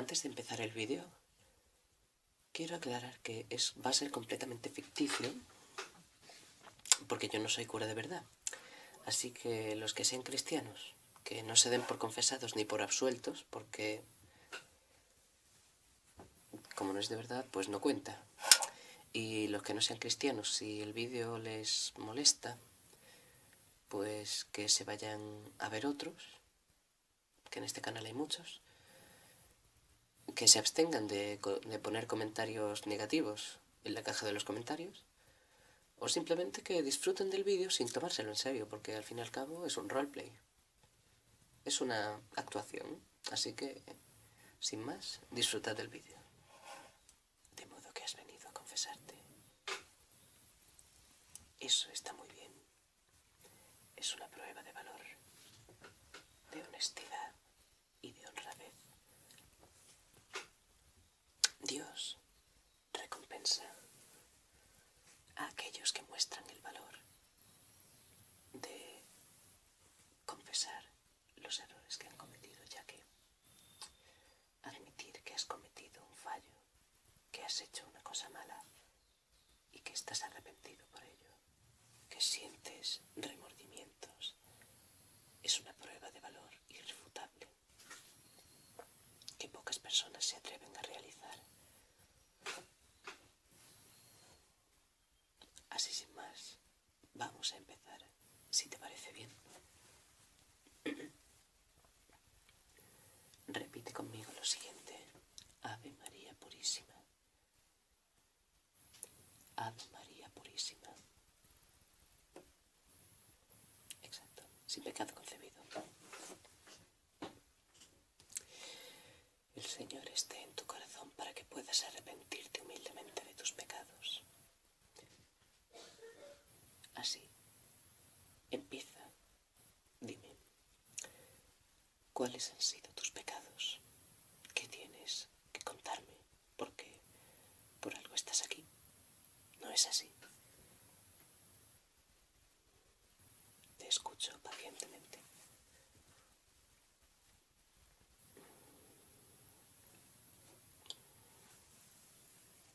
Antes de empezar el vídeo, quiero aclarar que es, va a ser completamente ficticio, porque yo no soy cura de verdad. Así que los que sean cristianos, que no se den por confesados ni por absueltos, porque como no es de verdad, pues no cuenta. Y los que no sean cristianos, si el vídeo les molesta, pues que se vayan a ver otros, que en este canal hay muchos, que se abstengan de, poner comentarios negativos en la caja de los comentarios, o simplemente que disfruten del vídeo sin tomárselo en serio, porque al fin y al cabo es un roleplay. Es una actuación, así que, sin más, disfrutad del vídeo. De modo que has venido a confesarte. Eso está muy bien. Es una prueba de valor, de honestidad y de honradez. Dios recompensa a aquellos que muestran el valor de confesar los errores que han cometido, ya que admitir que has cometido un fallo, que has hecho una cosa mala y que estás arrepentido por ello, que sientes remordimientos, es una prueba de valor irrefutable que pocas personas se atreven a realizar. Así sin más, vamos a empezar, si te parece bien. Repite conmigo lo siguiente. Ave María Purísima. Ave María Purísima. Exacto. Sin pecado concebido. El Señor esté en tu corazón para que puedas arrepentirte humildemente de tus pecados. Así. Empieza. Dime, ¿cuáles han sido tus pecados? ¿Qué tienes que contarme? Porque por algo estás aquí. ¿No es así? Te escucho pacientemente.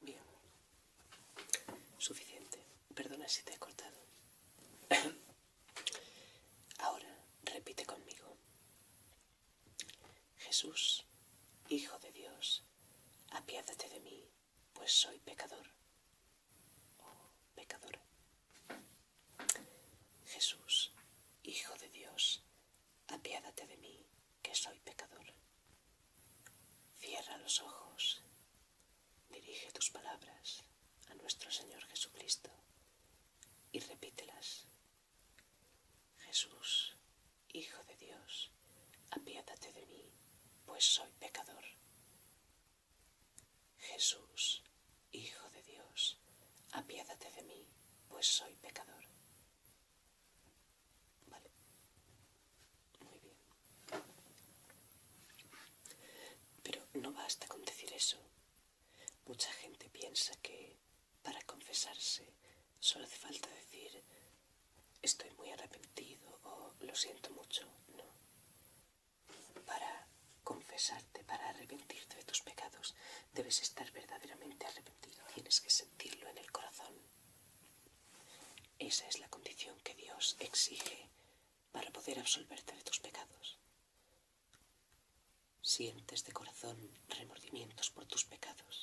Bien. Suficiente. Perdona si te he cortado. Ahora repite conmigo. Jesús, Hijo de Dios, apiádate de mí, pues soy pecador oh pecador. Jesús, Hijo de Dios, apiádate de mí, que soy pecador. Cierra los ojos, dirige tus palabras a nuestro Señor Jesucristo y repítelas. Jesús, Hijo de Dios, apiádate de mí, pues soy pecador. Jesús, Hijo de Dios, apiádate de mí, pues soy pecador. Vale. Muy bien. Pero no basta con decir eso. Mucha gente piensa que para confesarse solo hace falta decir estoy muy arrepentido o lo siento mucho. No. Para confesarte, para arrepentirte de tus pecados, debes estar verdaderamente arrepentido. Tienes que sentirlo en el corazón. Esa es la condición que Dios exige para poder absolverte de tus pecados. Sientes de corazón remordimientos por tus pecados.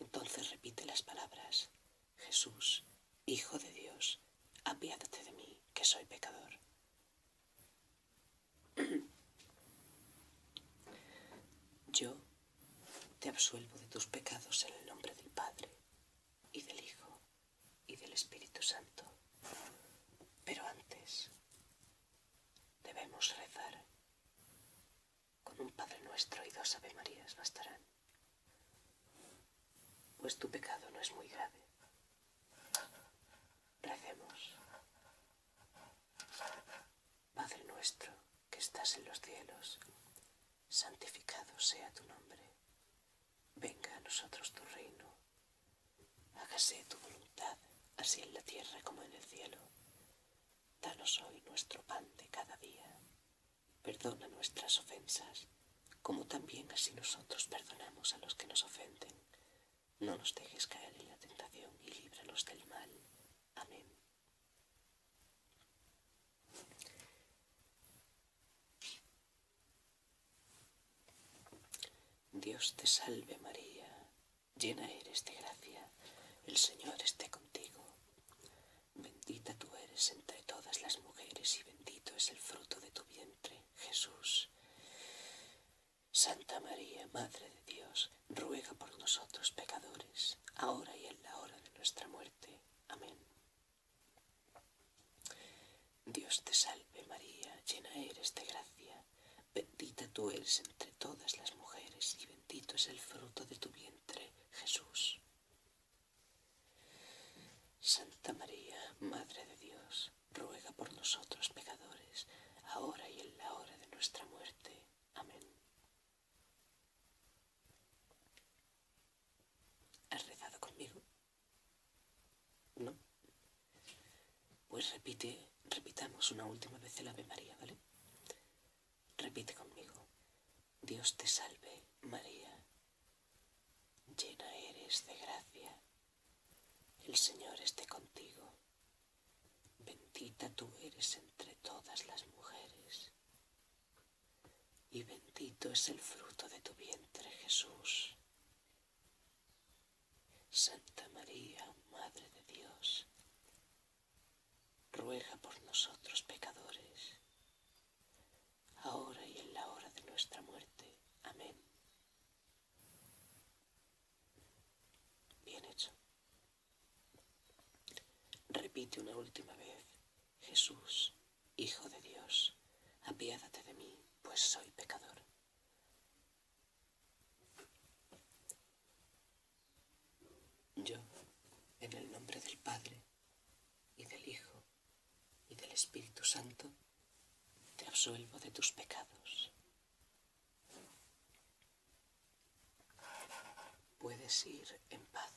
Entonces repite las palabras, Jesús, Hijo de Dios, apiádate de mí, que soy pecador. Yo te absuelvo de tus pecados en el nombre del Padre, y del Hijo, y del Espíritu Santo. Pero antes debemos rezar con un Padre Nuestro y dos Ave Marías bastarán, pues tu pecado no es muy grave. Recemos. Padre Nuestro, que estás en los cielos, santificado sea tu nombre. Venga a nosotros tu reino. Hágase tu voluntad, así en la tierra como en el cielo. Danos hoy nuestro pan de cada día. Perdona nuestras ofensas, como también así nosotros perdonamos a los que nos ofenden. No nos dejes caer en la tentación y líbranos del mal. Amén. Dios te salve María Llena eres de gracia, el Señor esté contigo. Bendita tú eres entre todas las mujeres y bendito es el fruto de tu vientre, Jesús. Santa María, Madre de Dios, ruega por nosotros pecadores, ahora y en la hora de nuestra muerte. Amén. Dios te salve María, llena eres de gracia, Bendita tú eres entre todas las mujeres y bendito es el fruto de tu vientre, Jesús. Santa María, Madre de Dios, ruega por nosotros pecadores, ahora y en la hora de nuestra muerte. Amén. ¿Has rezado conmigo? No. Pues repite Repitamos una última vez el Ave María, ¿vale? Repite conmigo. Dios te salve, María. Llena eres de gracia. El Señor esté contigo. Bendita tú eres entre todas las mujeres. Y bendito es el fruto de tu vientre, Jesús. Santa María, Madre de Dios ruega por nosotros pecadores, ahora y en la hora de nuestra muerte. Amén. Bien hecho. Repite una última vez, Jesús, Hijo de Dios, apiádate de mí, pues soy pecador. Yo, en el nombre del Padre, y del Hijo, y del Espíritu Santo, te absuelvo de tus pecados. Puedes ir en paz.